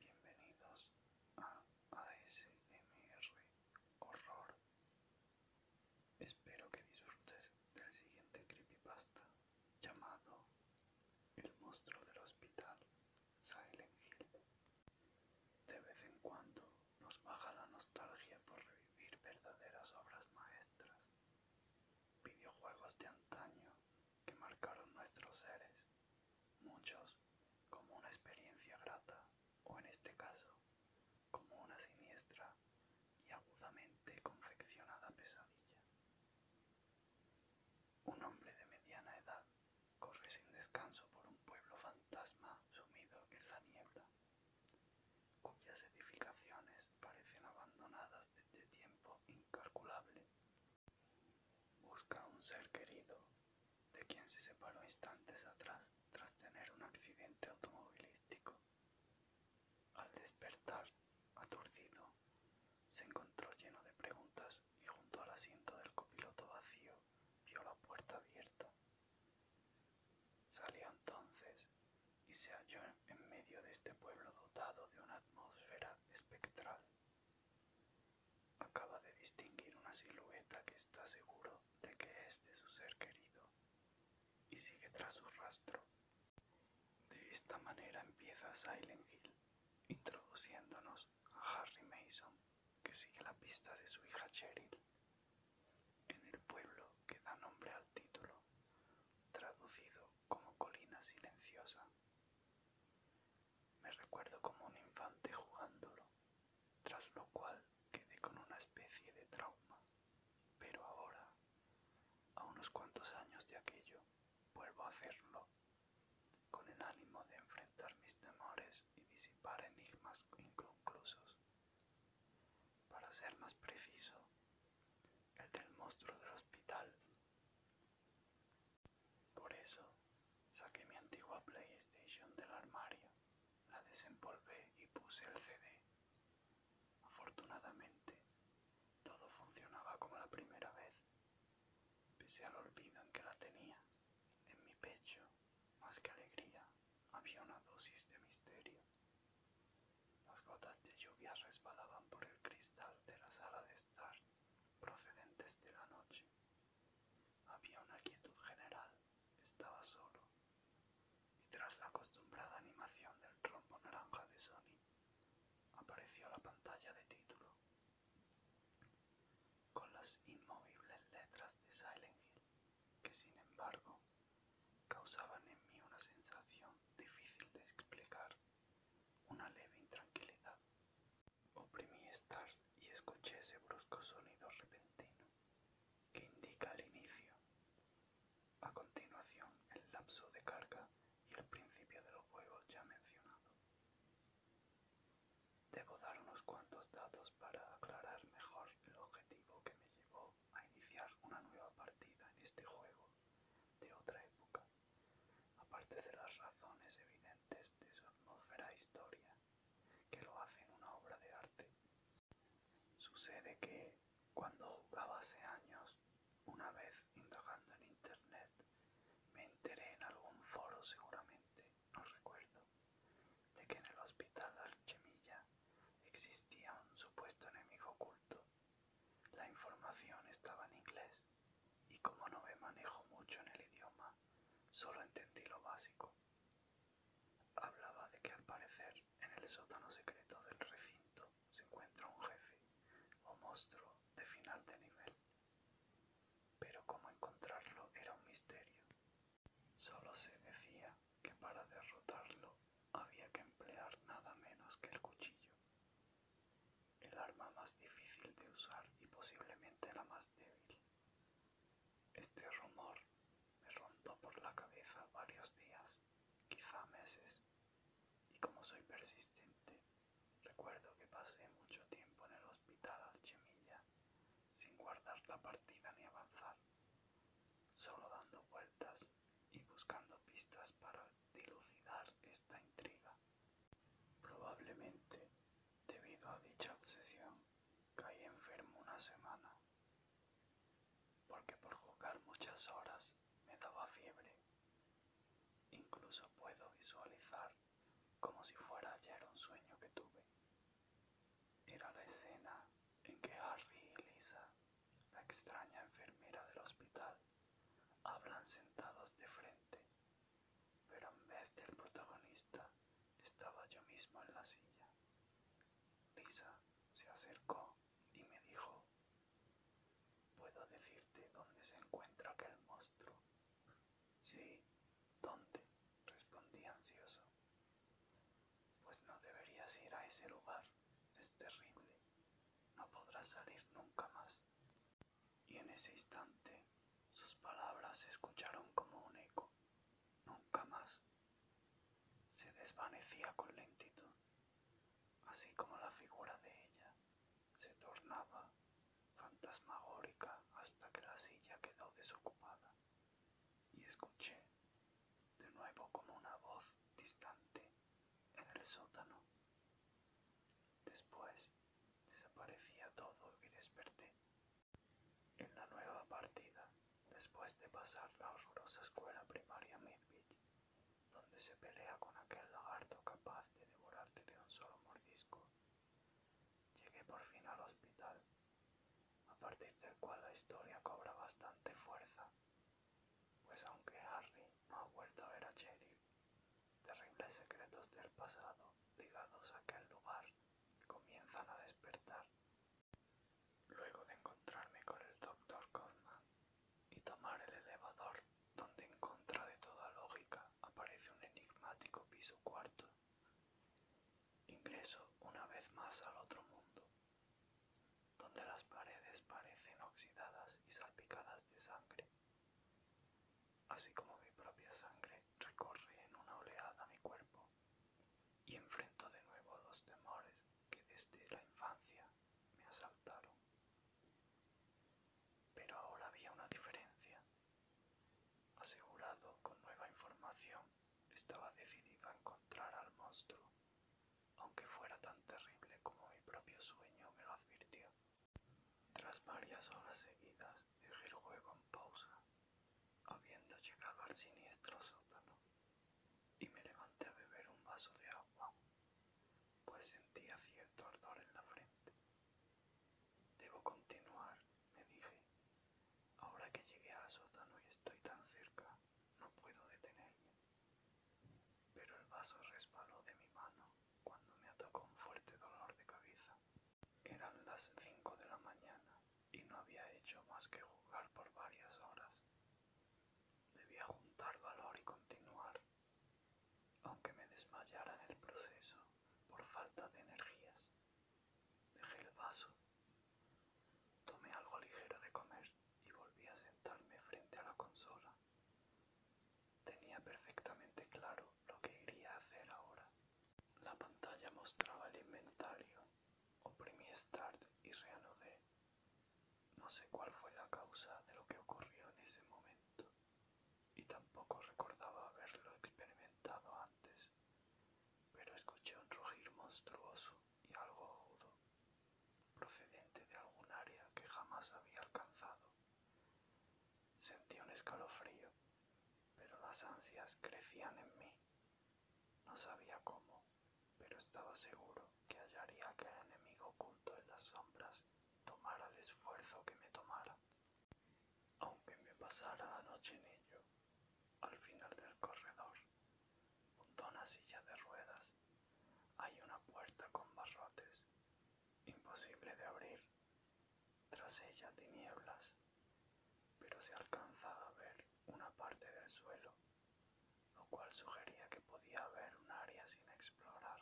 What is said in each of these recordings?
Bienvenidos a ASMR Horror. Espero que disfrutes del siguiente creepypasta llamado El monstruo del hospital Silent Hill. De vez en cuando nos baja la nostalgia por revivir verdaderas obras maestras, videojuegos de antaño que marcaron nuestros seres, muchos como una experiencia grata o en este caso como una siniestra y agudamente confeccionada pesadilla. Un hombre de mediana edad corre sin descanso por un pueblo fantasma sumido en la niebla cuyas edificaciones parecen abandonadas desde tiempo incalculable. Busca un ser querido de quien se separó instantes atrás tras tener un accidente automovilístico. Al despertar, aturdido, se encontró lleno de preguntas y junto al asiento del copiloto vacío vio la puerta abierta. Salió entonces y se halló en medio de este pueblo dotado de una atmósfera espectral. Acaba de distinguir una silueta que está seguro de que es de su ser querido y sigue tras su rastro. De esta manera empieza Silent Hill, introduciéndonos a Harry Mason, que sigue la pista de su hija Cheryl en el pueblo que da nombre al título, traducido como colina silenciosa. Me recuerdo como un infante jugándolo, tras lo cual quedé con una especie de trauma. Pero ahora, a unos cuantos años de aquello, vuelvo a hacerlo, con el ánimo de enfrentar mis temores y disipar enigmas inconclusos. Para ser más preciso, el del monstruo del hospital. Por eso, saqué mi antigua PlayStation del armario, la desenvolvé y puse el CD. Afortunadamente, todo funcionaba como la primera vez, pese al olvido en que la tenía, en mi pecho, más que alegría, había una dosis de misterio. Las gotas de lluvia resbalaban por el cristal de la sala de estar, procedentes de la noche. Había una quietud general, estaba solo, y tras la acostumbrada animación del rombo naranja de Sony, apareció la pantalla de título, con las inmovibles letras de Silent Hill que sin embargo causaban en mí una sensación difícil de explicar, una leve intranquilidad. Oprimí estar y escuché ese brusco sonido repentino que indica el inicio. A continuación, el lapso de carga y el principio de los juegos ya mencionado. Debo dar unos cuantos datos para aclarar mejor el objetivo que me llevó a iniciar una nueva partida en este juego de otra época, aparte de las razones evidentes de su atmósfera e historia, que lo hacen una obra de arte. Sucede que, cuando jugaba hace años, una vez indagando en internet, me enteré en algún foro seguramente, no recuerdo, de que en el hospital Alchemilla Existía un supuesto enemigo oculto. La información estaba en inglés y como no me manejo mucho en el idioma, solo entendí lo básico. Hablaba de que al parecer en el sótano secreto del recinto se encuentra un jefe o monstruo de final de nivel. Pero cómo encontrarlo era un misterio. Solo se decía que para derrotarlo había que emplear nada menos que el cuchillo, el arma más difícil de usar y posiblemente la más débil. Este rumor me rondó por la cabeza varios días, quizá meses, y como soy persistente, recuerdo que pasé mucho tiempo en el hospital Alchemilla sin guardar la partida ni avanzar, solo dando vueltas y buscando pistas para dilucidar esta intriga. Probablemente, debido a dicha obsesión, caí enfermo una semana, porque por jugar muchas horas me daba fiebre. Incluso puedo visualizar como si fuera ayer un sueño que tuve. Era la escena en que Harry y Lisa la extraña enfermera del hospital hablan sentados de frente, pero en vez del protagonista estaba yo mismo en la silla. Lisa se acercó y me dijo, ¿puedo decirte dónde se encuentra aquel monstruo? Sí, ¿dónde? respondí ansioso. Pues no deberías ir a ese lugar, es terrible, no podrás salir nunca más. Y en ese instante sus palabras se escucharon como un eco, nunca más. Se desvanecía con lentitud, así como la figura de ella se tornaba fantasmagórica hasta que la silla quedó desocupada y escuché de nuevo como una voz distante en el sótano. Después desaparecía todo y desperté. En la nueva partida, después de pasar la horrorosa escuela primaria Midville, donde se pelea con aquel lagarto capaz de devorarte de un solo mordisco, llegué por fin al hospital, a partir del cual la historia cobra bastante fuerza pues aunque Harry no ha vuelto a ver a Cheryl, terribles secretos del pasado ligados a aquel lugar comienzan a despertar. Luego de encontrarme con el Dr. Codman y tomar el elevador, donde en contra de toda lógica aparece un enigmático piso cuarto, ingreso una vez más al otro mundo donde las paredes parecen oxidadas y salpicadas de sangre, así como mi propia sangre recorre en una oleada mi cuerpo y enfrento de nuevo los temores que desde la infancia me asaltaron. Pero ahora había una diferencia. Asegurado con nueva información, estaba decidido a encontrar al monstruo aunque fuera tan terrible como mi propio sueño me lo advirtió. Tras varias horas seguidas dejé el juego en pausa, habiendo llegado al siniestro sótano, y me levanté a beber un vaso de agua, pues sentía cierto ardor en la frente. Debo continuar, me dije, ahora que llegué al sótano y estoy tan cerca no puedo detenerme, pero el vaso resbaló de mi mano cuando me atacó un fuerte dolor de cabeza. Eran las 5 de la mañana y no había hecho más que jugar por varias horas. Debía juntar valor y continuar, aunque me desmayara en el proceso por falta de energías. Dejé el vaso, tomé algo ligero de comer y volví a sentarme frente a la consola. Tenía perfectamente claro lo que iría a hacer ahora. La pantalla mostraba el inventario. Oprimí Start y reanudé. No sé cuál fue la causa de lo que ocurrió en ese momento y tampoco recordaba haberlo experimentado antes, pero escuché un rugir monstruoso y algo agudo, procedente de algún área que jamás había alcanzado. Sentí un escalofrío, pero las ansias crecían en mí. No sabía cómo, pero estaba seguro que hallaría que el enemigo oculto en las sombras tomara el esfuerzo que me tomara. Aunque me pasara la noche en ello, al final del corredor, una silla de ruedas hay una puerta con barrotes, imposible de abrir, tras ella tinieblas, pero se alcanzaba a ver una parte del suelo, lo cual sugería que podía haber un área sin explorar,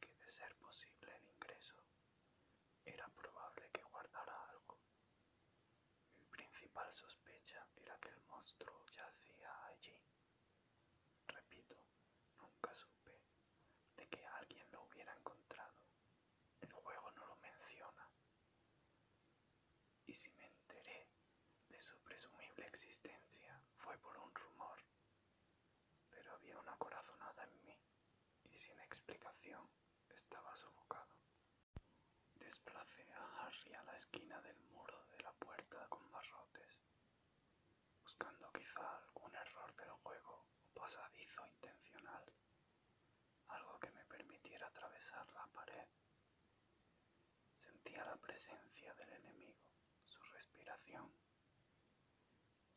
que de ser posible el ingreso, era probable que guardara algo. Mi principal sospecha era que el monstruo yacía allí Repito, nunca supe de que alguien lo hubiera encontrado. El juego no lo menciona. Y si me enteré de su presumible existencia fue por un rumor. Pero había una corazonada en mí y sin explicación estaba sofocado. Desplacé a Harry a la esquina de el muro de la puerta con barrotes, buscando quizá algún error del juego o pasadizo intencional, algo que me permitiera atravesar la pared. Sentía la presencia del enemigo, su respiración.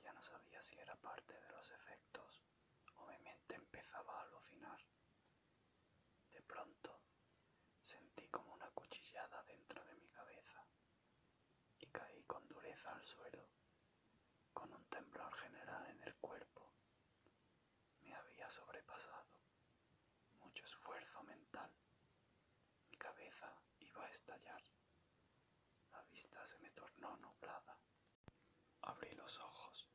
Ya no sabía si era parte de los efectos o mi mente empezaba a alucinar. De pronto, Sentí como una cuchillada dentro de mi cabeza y caí con dureza al suelo, con un temblor general en el cuerpo. Me había sobrepasado mucho esfuerzo mental. Mi cabeza iba a estallar. La vista se me tornó nublada. Abrí los ojos,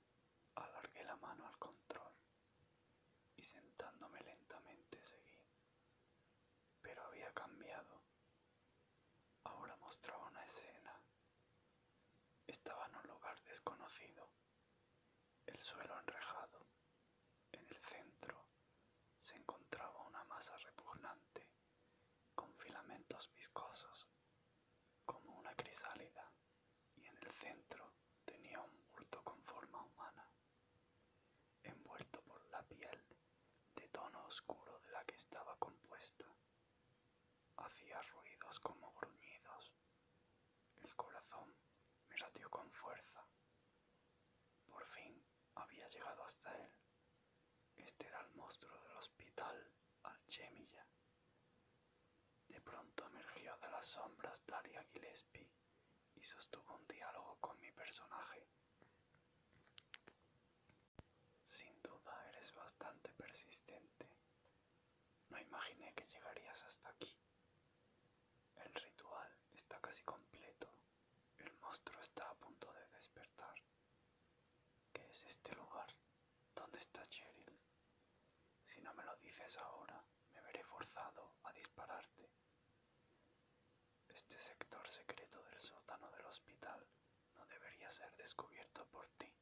alargué la mano al control y sentándome lentamente seguí. Pero había cambiado. Ahora mostraba una escena. Estaba en un lugar desconocido, el suelo enrejado. En el centro se encontraba una masa repugnante con filamentos viscosos, como una crisálida, y en el centro tenía un bulto con forma humana envuelto por la piel de tono oscuro de la que estaba compuesta. Hacía ruidos como gruñidos. El corazón me latió con fuerza. Por fin había llegado hasta él. Este era el monstruo del hospital Alchemilla. De pronto emergió de las sombras Daria Gillespie y sostuvo un diálogo con mi personaje. Sin duda eres bastante persistente. No imaginé que llegarías hasta aquí. El ritual está casi completo. El monstruo está a punto de despertar. ¿Qué es este lugar? ¿Dónde está Cheryl? Si no me lo dices ahora, me veré forzado a dispararte. Este sector secreto del sótano del hospital no debería ser descubierto por ti.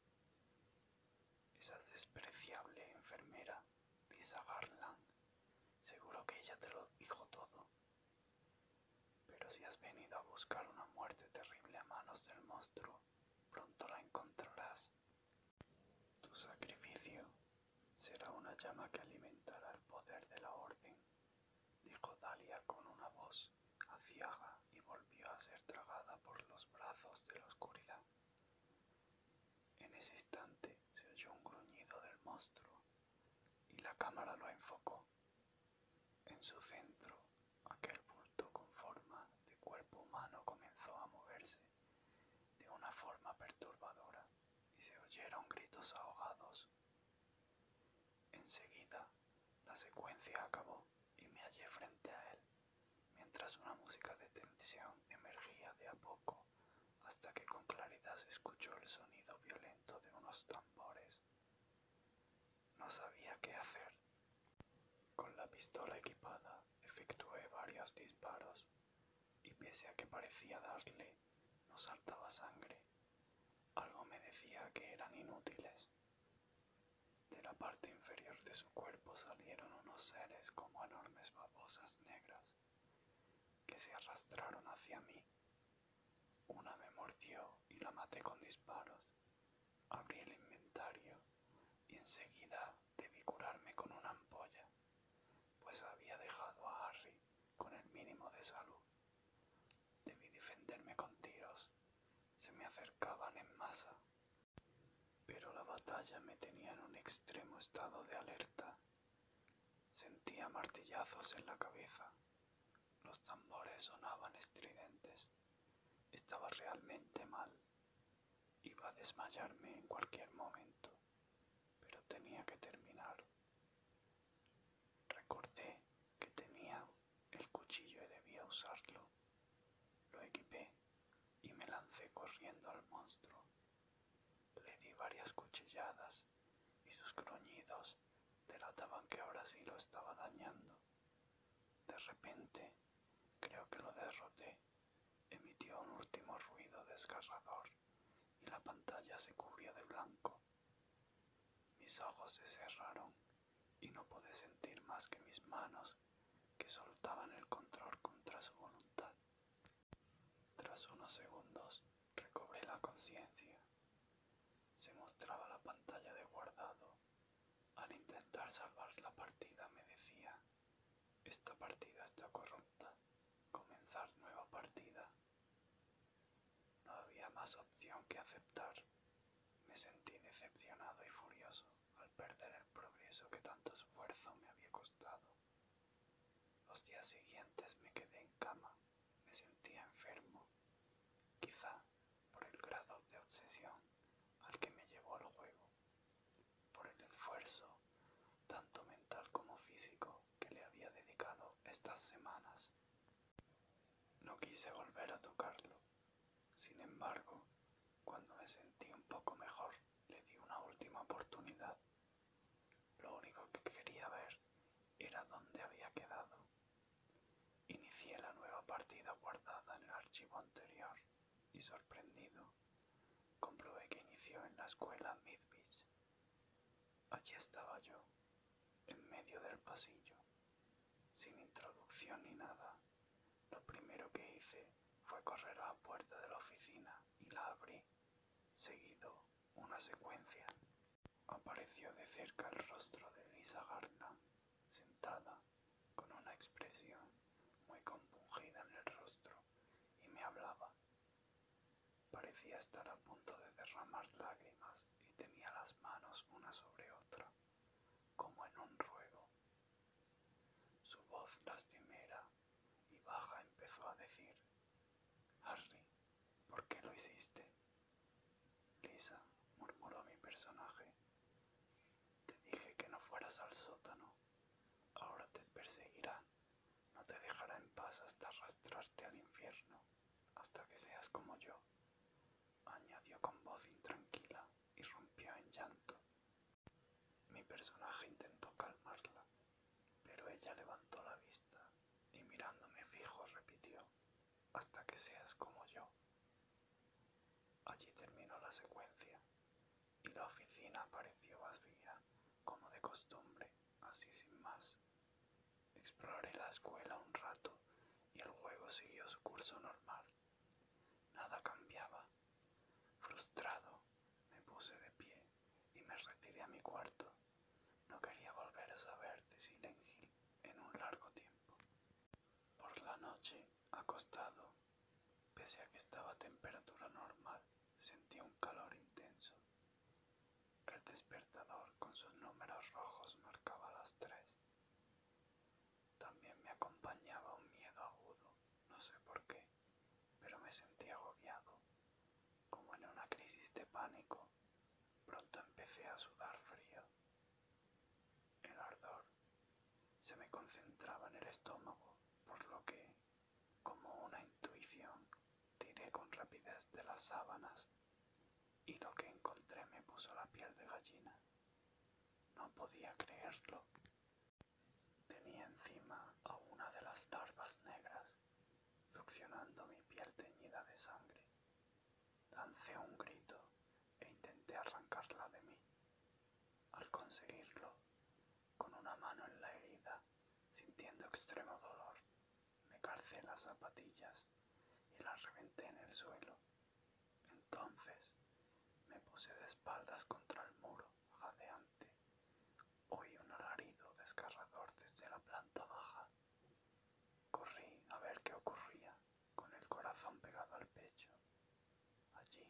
Esa despreciable enfermera, Lisa Garland, seguro que ella te lo dijo todo. Pero si has venido a buscar una muerte terrible a manos del monstruo, pronto la encontrarás. Tu sacrificio Será una llama que alimentará el poder de la orden, dijo Dahlia con una voz aciaga y volvió a ser tragada por los brazos de la oscuridad. En ese instante se oyó un gruñido del monstruo y la cámara lo enfocó. En su centro, aquel bulto con forma de cuerpo humano comenzó a moverse de una forma perturbadora y se oyeron gritos ahogados. Enseguida, la secuencia acabó y me hallé frente a él, mientras una música de tensión emergía de a poco hasta que con claridad se escuchó el sonido violento de unos tambores. No sabía qué hacer. Con la pistola equipada efectué varios disparos y pese a que parecía darle no saltaba sangre. Algo me decía que eran inútiles. De la parte inferior de su cuerpo salieron unos seres como enormes babosas negras que se arrastraron hacia mí. Una me mordió y la maté con disparos. Abrí el inventario y enseguida debí curarme con una ampolla pues había dejado a Harry con el mínimo de salud. Debí defenderme con tiros, se me acercaban en masa, pero la batalla me tenía en un extremo estado de alerta. Sentía martillazos en la cabeza, los tambores sonaban estridentes, estaba realmente mal, iba a desmayarme en cualquier momento pero tenía que terminar. Recordé que tenía el cuchillo y debía usarlo. Lo equipé y me lancé corriendo al monstruo. Le di varias cuchilladas y sus gruñidos delataban que ahora sí lo estaba dañando. De repente, creo que lo derroté. Emitió un último ruido desgarrador y la pantalla se cubrió de blanco. Mis ojos se cerraron y no pude sentir más que mis manos que soltaban el control contra su voluntad. Tras unos segundos recobré la conciencia. Se mostraba la pantalla de guardado. Al intentar salvar la partida me decía, esta partida está corrupta, comenzar nueva partida. No había más opción que aceptar. Me sentí decepcionado y furioso al perder el progreso que tanto esfuerzo me había costado. Los días siguientes me quedé en cama, me sentía enfermo, quizá por el grado de obsesión al que me llevó el juego, por el esfuerzo, tanto mental como físico, que le había dedicado estas semanas. No quise volver a tocarlo. Sin embargo, cuando me sentí un poco mejor, le di una última oportunidad. Lo único que quería ver era dónde había quedado. Inicié la nueva partida guardada en el archivo anterior y sorprendido, comprobé que inició en la escuela Midwich. Allí estaba yo, en medio del pasillo, sin introducción ni nada. Lo primero que hice fue correr a la puerta de la oficina y la abrí. Seguido una secuencia. Apareció de cerca el rostro de Lisa Gartland, sentada, con una expresión muy compungida en el rostro, y me hablaba. Parecía estar a punto de derramar lágrimas y tenía las manos una sobre otra, como en un ruego. Su voz lastimera y baja empezó a decir, Harry, ¿por qué lo hiciste? Lisa, murmuró mi personaje, te dije que no fueras al sótano, ahora te perseguirán no te dejará en paz hasta arrastrarte al infierno, hasta que seas como yo, añadió con voz intranquila y rompió en llanto. Mi personaje intentó calmarla, pero ella levantó la vista y mirándome fijo repitió, hasta que seas como yo. Allí terminó la secuencia y la oficina apareció vacía, como de costumbre, así sin más. Exploré la escuela un rato y el juego siguió su curso normal. Nada cambiaba. Frustrado, me puse de pie y me retiré a mi cuarto. No quería volver a saber de Silent en un largo tiempo. Por la noche, acostado, pese a que estaba a temperatura normal, sentí un calor intenso. El despertador con sus números rojos marcaba las tres. También me acompañaba un miedo agudo, no sé por qué, pero me sentí agobiado, como en una crisis de pánico. Pronto empecé a sudar frío. El ardor se me concentraba en el estómago, por lo que, como una intuición, Tiré con rapidez de las sábanas y lo que encontré me puso la piel de gallina. No podía creerlo. Tenía encima a una de las larvas negras, succionando mi piel teñida de sangre. Lancé un grito e intenté arrancarla de mí. Al conseguirlo, con una mano en la herida, sintiendo extremo dolor, me calcé las zapatillas y las reventé en el suelo. Entonces me puse de espaldas contra el muro jadeante. Oí un alarido desgarrador desde la planta baja. Corrí a ver qué ocurría, con el corazón pegado al pecho. Allí,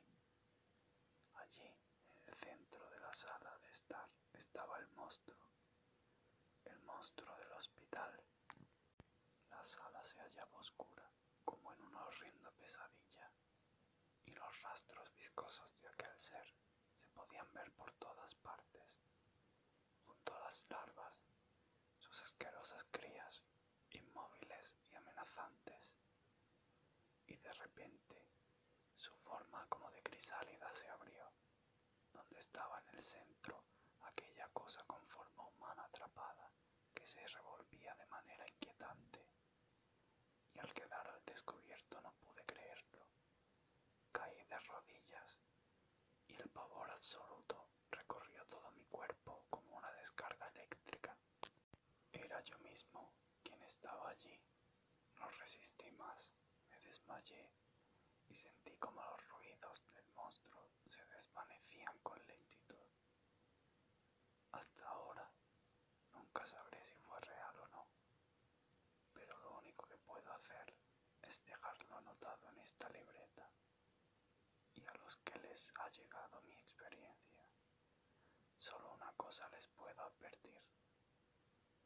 allí, en el centro de la sala de estar, estaba el monstruo, el monstruo del hospital. La sala se hallaba oscura, como en una horrenda pesadilla, y los rastros viscosos de aquel ser se podían ver por todas partes, junto a las larvas, sus asquerosas crías, inmóviles y amenazantes, y de repente su forma como de crisálida se abrió donde estaba en el centro aquella cosa con forma humana atrapada que se revolvía de manera inquietante, y al quedar al descubierto no pude creerlo. Caí de rodillas y el pavor absoluto recorrió todo mi cuerpo como una descarga eléctrica. Era yo mismo quien estaba allí. No resistí más, me desmayé y sentí como los ruidos del monstruo se desvanecían con lentitud. Hasta ahora nunca sabré si fue real o no, pero lo único que puedo hacer es dejarlo anotado en esta libreta y a los que les ha llegado mi experiencia. Solo una cosa les puedo advertir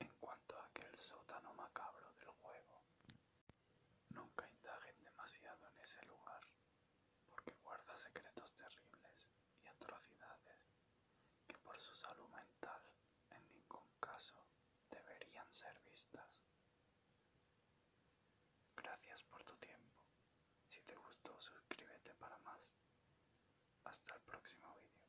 en cuanto a aquel sótano macabro del juego. Nunca indaguen demasiado en ese lugar, porque guarda secretos terribles y atrocidades que por su salud mental en ningún caso deberían ser vistas. Gracias por tu tiempo. Si te gustó, suscríbete para más. Hasta el próximo vídeo.